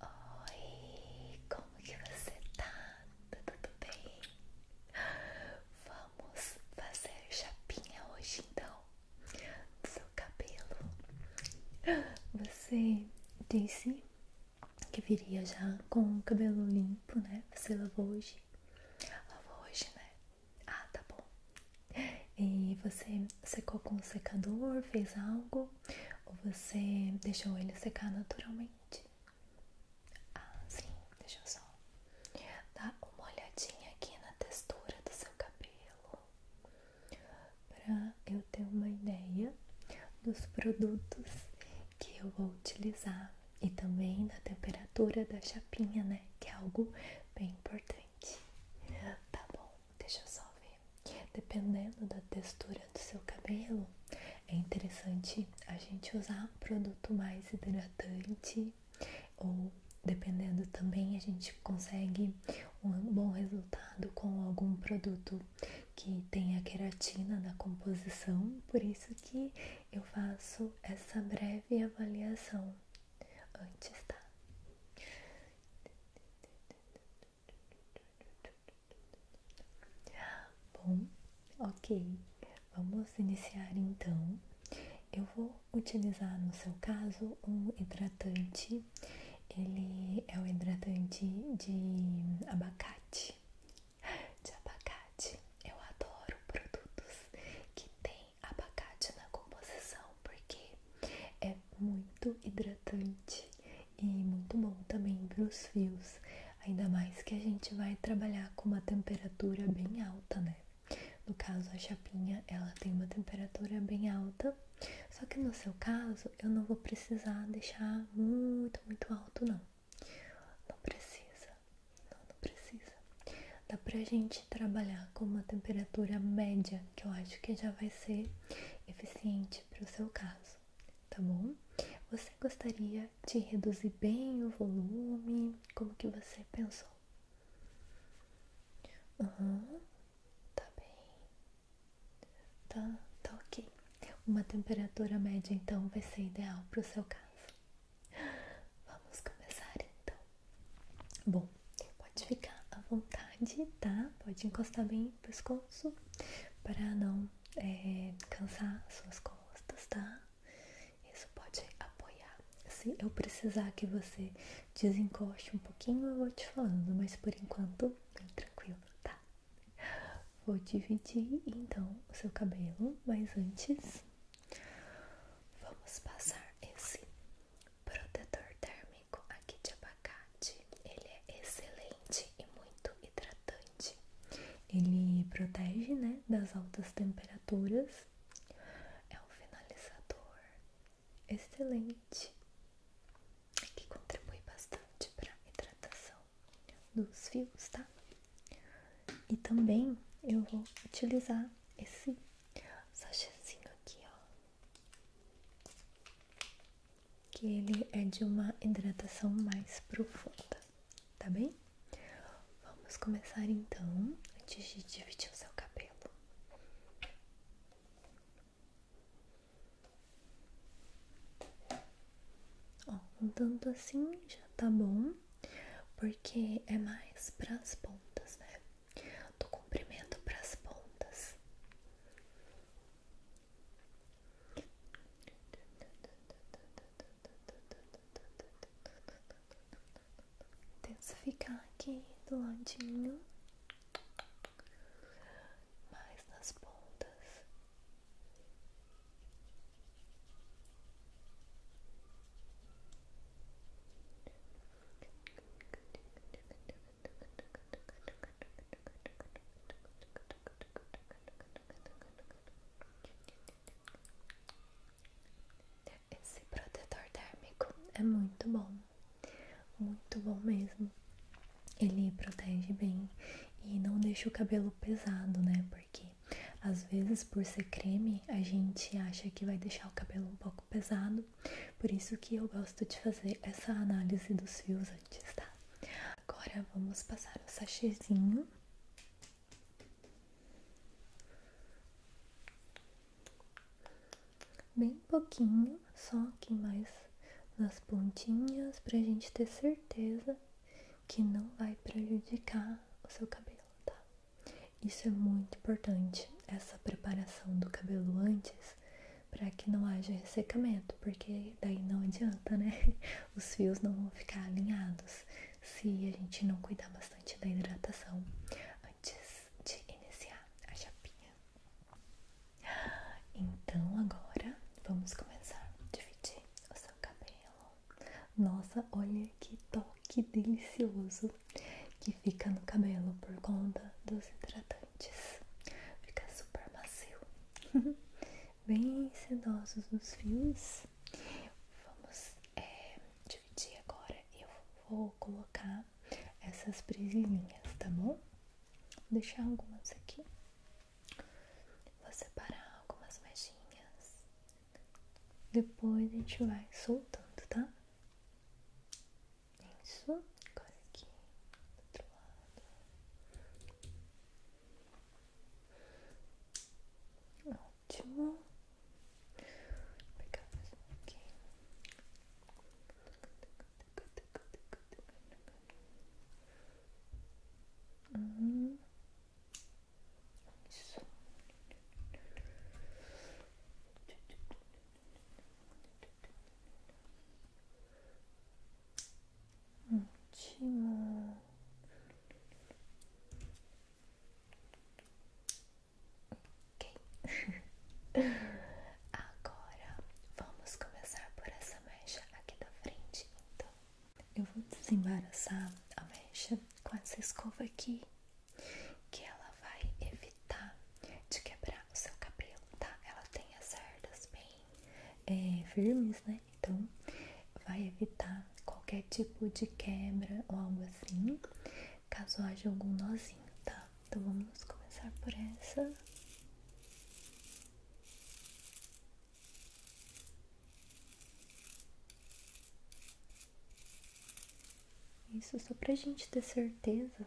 Oi, como que você tá? tá? Tudo bem? Vamos fazer chapinha hoje então do seu cabelo. Você disse que viria já com o cabelo limpo, né? Você lavou hoje? Lavou hoje, né? Ah, tá bom. E você secou com o secador, fez algo? Ou você deixou ele secar naturalmente? Ah, sim, deixa eu só dar uma olhadinha aqui na textura do seu cabelo para eu ter uma ideia dos produtos que eu vou utilizar e também da temperatura da chapinha, né? Que é algo bem importante. Tá bom. Deixa eu só ver. Dependendo da textura do seu cabelo, é interessante a gente usar um produto mais hidratante ou dependendo também a gente consegue um bom resultado com algum produto que tenha queratina na composição, por isso que eu faço essa breve avaliação antes, tá? Bom, ok. Vamos iniciar então. Eu vou utilizar no seu caso um hidratante. Ele é o hidratante de abacate. De abacate. Eu adoro produtos que têm abacate na composição porque é muito hidratante e muito bom também para os fios, ainda mais que a gente vai trabalhar com uma temperatura bem alta, né? No caso, a chapinha ela tem uma temperatura bem alta, só que no seu caso eu não vou precisar deixar muito, muito alto, não. Não precisa, não, precisa. Dá para a gente trabalhar com uma temperatura média, que eu acho que já vai ser eficiente para o seu caso, tá bom? Você gostaria de reduzir bem o volume? Como que você pensou? Uhum, tá bem. Tá, tá ok. Uma temperatura média então vai ser ideal para o seu caso. Vamos começar então. Bom, pode ficar à vontade, tá? Pode encostar bem o pescoço para não é, cansar suas costas, tá? Isso pode apoiar. Se eu precisar que você desencoste um pouquinho, eu vou te falando, mas por enquanto, bem tranquilo, tá? Vou dividir então o seu cabelo, mas antes vamos passar esse protetor térmico aqui de abacate, ele é excelente e muito hidratante. Ele protege, né, das altas temperaturas. É um finalizador excelente que contribui bastante para a hidratação dos fios, tá? E também eu vou utilizar esse sachêzinho aqui, ó, que ele é de uma hidratação mais profunda, tá bem? Vamos começar então, antes de dividir o seu cabelo. Ó, um tanto assim já tá bom, porque é mais para as pontas, né? do comprimento para as pontas. Intensificar aqui do ladinho, mais nas pontas. Esse protetor térmico é muito bom, muito bom mesmo. Ele protege bem e não deixa o cabelo pesado, né? Porque às vezes, por ser creme, a gente acha que vai deixar o cabelo um pouco pesado por isso que eu gosto de fazer essa análise dos fios antes, tá? Agora vamos passar o sachêzinho. Bem pouquinho, só aqui mais nas pontinhas, pra gente ter certeza que não vai prejudicar o seu cabelo, tá? Isso é muito importante, essa preparação do cabelo antes, para que não haja ressecamento, porque daí não adianta, né? Os fios não vão ficar alinhados se a gente não cuidar bastante da hidratação antes de iniciar a chapinha. Então agora vamos começar a dividir o seu cabelo. Nossa, olha que top! que delicioso que fica no cabelo por conta dos hidratantes. Fica super macio. Bem sedosos nos fios. Vamos é, dividir agora. Eu vou colocar essas presilhinhas, tá bom? Vou deixar algumas aqui. Vou separar algumas mechinhas. Depois a gente vai soltando, tá? Isso, agora aqui do outro lado. Ótimo. Vou pegar mais um aqui. Hum. Isso. Ótimo. Agora vamos começar por essa mecha aqui da frente. Então, eu vou desembaraçar a mecha com essa escova aqui que ela vai evitar de quebrar o seu cabelo, tá? Ela tem as cerdas bem é, firmes, né? Então vai evitar qualquer tipo de quebra ou algo assim, caso haja algum nozinho, tá? Então vamos começar por essa. Isso só pra gente ter certeza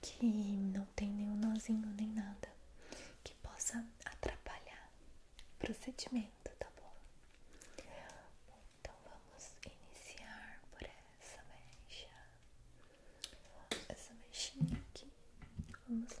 que não tem nenhum nozinho nem nada que possa atrapalhar o procedimento, tá bom? então vamos iniciar por essa mecha. Essa mexinha aqui. Vamos lá.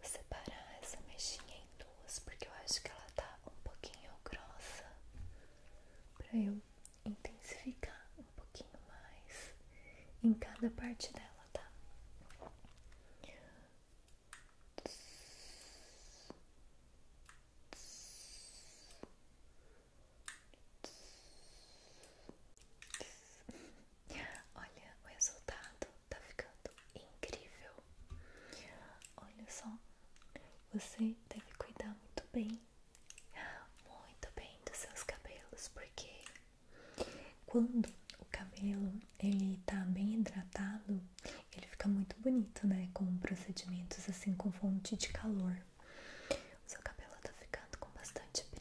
Vou separar essa mexinha em duas porque eu acho que ela tá um pouquinho grossa para eu intensificar um pouquinho mais em cada parte dela, tá? Olha, o resultado tá ficando incrível. Olha só, você deve cuidar muito bem, muito bem dos seus cabelos, porque quando o cabelo ele tá bem hidratado, ele fica muito bonito, né? Com procedimentos assim com fonte de calor. O seu cabelo tá ficando com bastante brilho.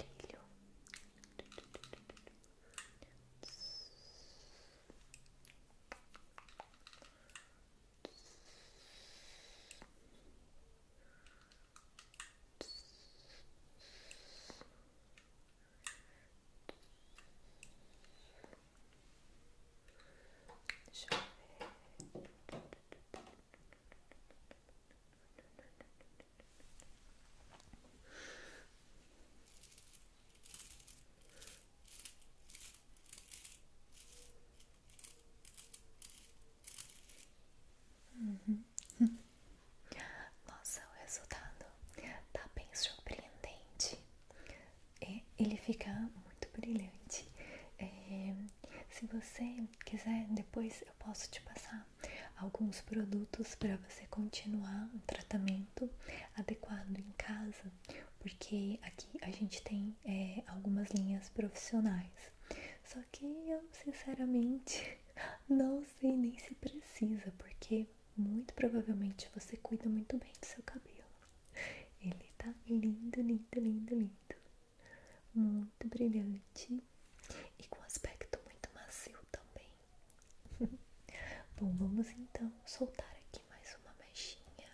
Deixa uhum. Nossa, o resultado tá bem surpreendente. É, ele fica muito brilhante. É, se você quiser, depois eu posso te passar alguns produtos para você continuar um tratamento adequado em casa, porque aqui a gente tem é, algumas linhas profissionais. Só que eu, sinceramente, não sei nem se precisa, porque muito provavelmente você cuida muito bem do seu cabelo. Ele tá lindo, lindo, lindo, lindo. Muito brilhante e com aspecto muito macio também. Bom, vamos então soltar aqui mais uma mechinha.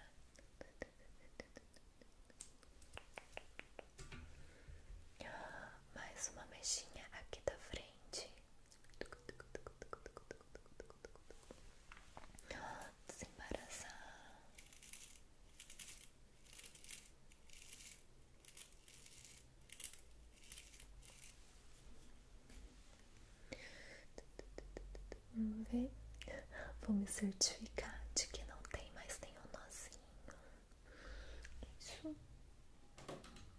Mais uma mechinha aqui da frente. Desembaraçar Vamos ver? Vou me certificar de que não tem mais nenhum nozinho. Isso.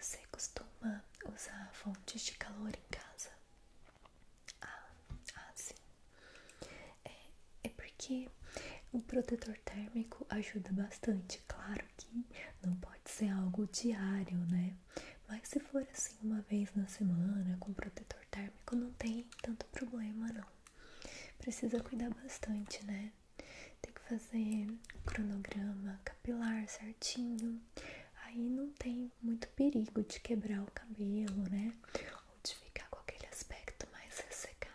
Você costuma usar fontes de calor em casa? Ah, ah sim. É, é porque o protetor térmico ajuda bastante. Claro que não pode ser algo diário, né? Mas se for assim uma vez na semana com protetor térmico, não tem tanto problema não. Precisa cuidar bastante, né? Tem que fazer cronograma capilar certinho. Aí não tem muito perigo de quebrar o cabelo, né? Ou de ficar com aquele aspecto mais ressecado.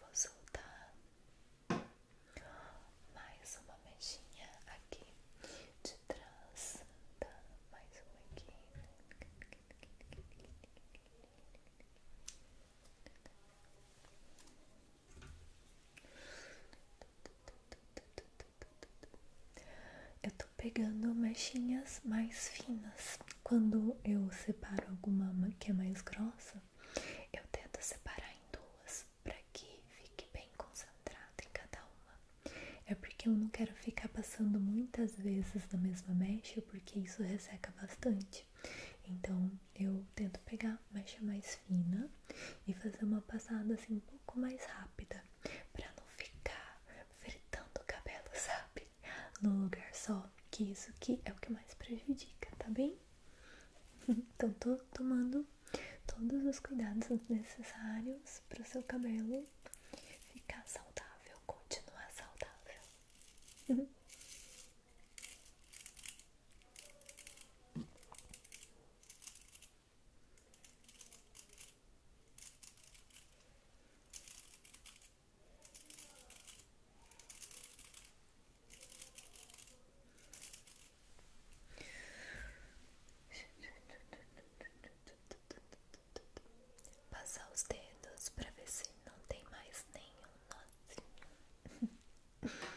Vou soltar mais uma mexinha aqui de trás, tá? Mais uma aqui. Eu tô pegando mechinhas mais finas. Quando eu separo alguma que é mais grossa, eu tento separar em duas para que fique bem concentrado em cada uma. É porque eu não quero ficar passando muitas vezes na mesma mecha, porque isso resseca bastante. Então eu tento pegar mecha mais fina e fazer uma passada assim um pouco mais rápida pra não ficar fritando o cabelo, sabe? No lugar só, que isso que é o que mais prejudica, tá bem? Então tô tomando todos os cuidados necessários pro seu cabelo ficar saudável, continuar saudável. Passar os dedos para ver se não tem mais nenhum nozinho.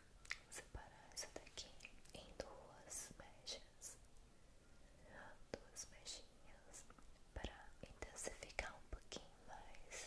separar essa daqui em duas mechas, duas mechinhas para intensificar um pouquinho mais.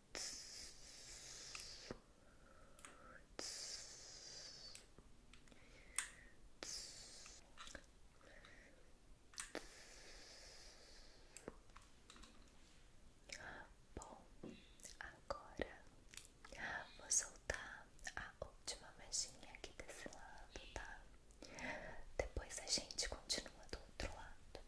Bom, agora vou soltar a última mexinha aqui desse lado, tá? Depois a gente continua do outro lado.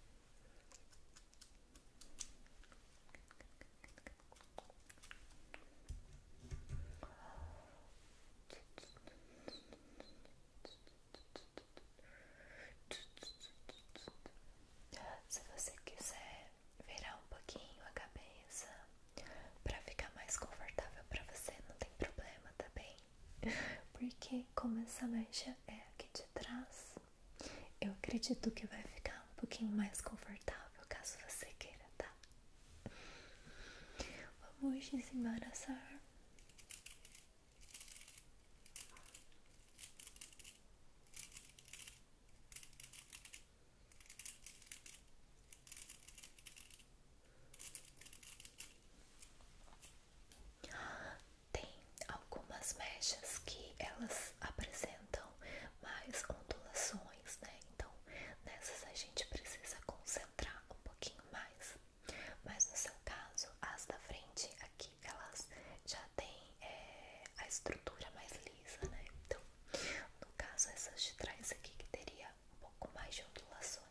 Se você quiser virar um pouquinho a cabeça para ficar mais confortável para você, não tem problema, tá bem? Porque como essa mecha é aqui de trás, eu acredito que vai ficar um pouquinho mais confortável caso você queira, tá? Vamos desembaraçar. Tem algumas mechas que elas apresentam mais ondulações, né? Então, nessas a gente precisa concentrar um pouquinho mais. Mas no seu caso, as da frente aqui, elas já têm é, a estrutura mais lisa, né? Então, no caso, essas de trás aqui que teria um pouco mais de ondulações.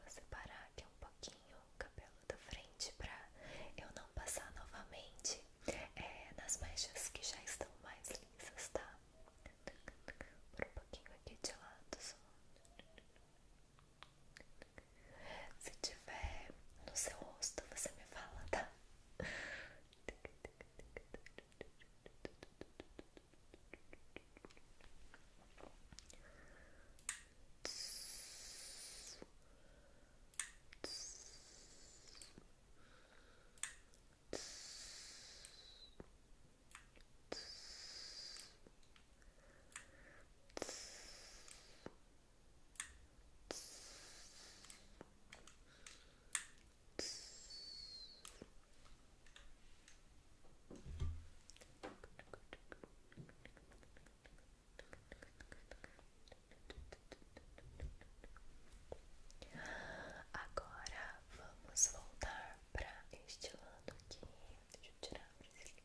Vou separar aqui um pouquinho o cabelo da frente pra eu não passar novamente é, nas mechas que já estão mais lisas, tá? Por um pouquinho aqui de lado só. Se tiver no seu rosto, você me fala, tá? Agora vamos voltar para este lado aqui. Deixa eu tirar a brasilinha.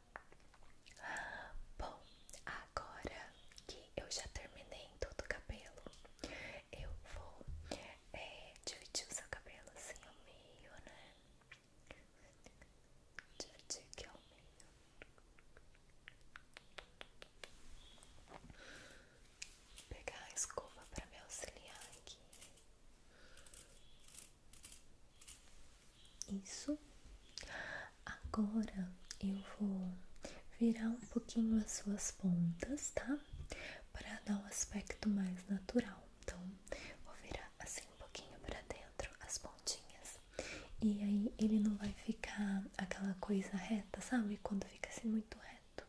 Bom, agora que eu já terminei todo o cabelo, eu vou é, dividir o seu cabelo assim ao meio, né? Dividir aqui ao meio. Pegar a escova para me auxiliar aqui. Isso. Agora eu vou virar um pouquinho as suas pontas, tá? Para dar um aspecto mais natural. Então, vou virar assim um pouquinho para dentro as pontinhas. E aí ele não vai ficar aquela coisa reta, sabe? Quando fica assim muito reto.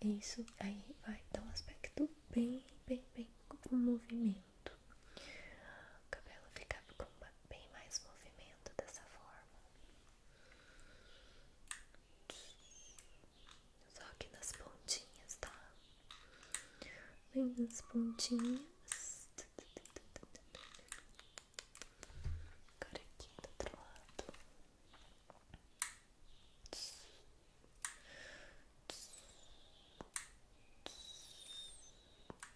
Isso aí vai dar um aspecto bem, bem, bem com movimento movimento. O cabelo ficava com bem mais movimento dessa forma. Só que nas pontinhas, tá? Bem nas pontinhas. Agora aqui do outro lado.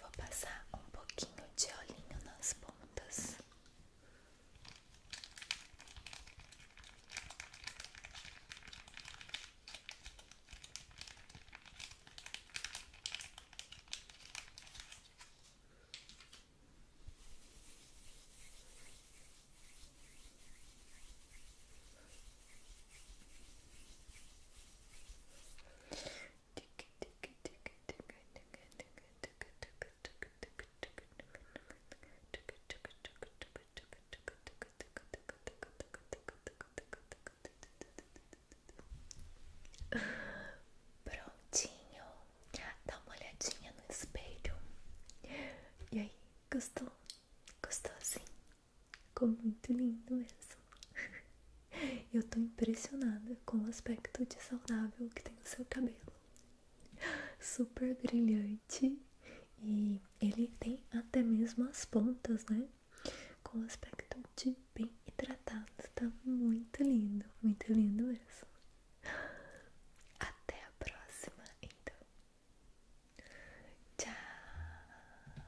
Vou passar um pouquinho de olhinho nas pontas. Prontinho, dá uma olhadinha no espelho. E aí, gostou? Gostou assim? Ficou muito lindo mesmo. Eu tô impressionada com o aspecto de saudável que tem o seu cabelo. Super brilhante e ele tem até mesmo as pontas, né? Com o aspecto de bem hidratado. Tá muito lindo, muito lindo mesmo. Até a próxima, então. Tchau!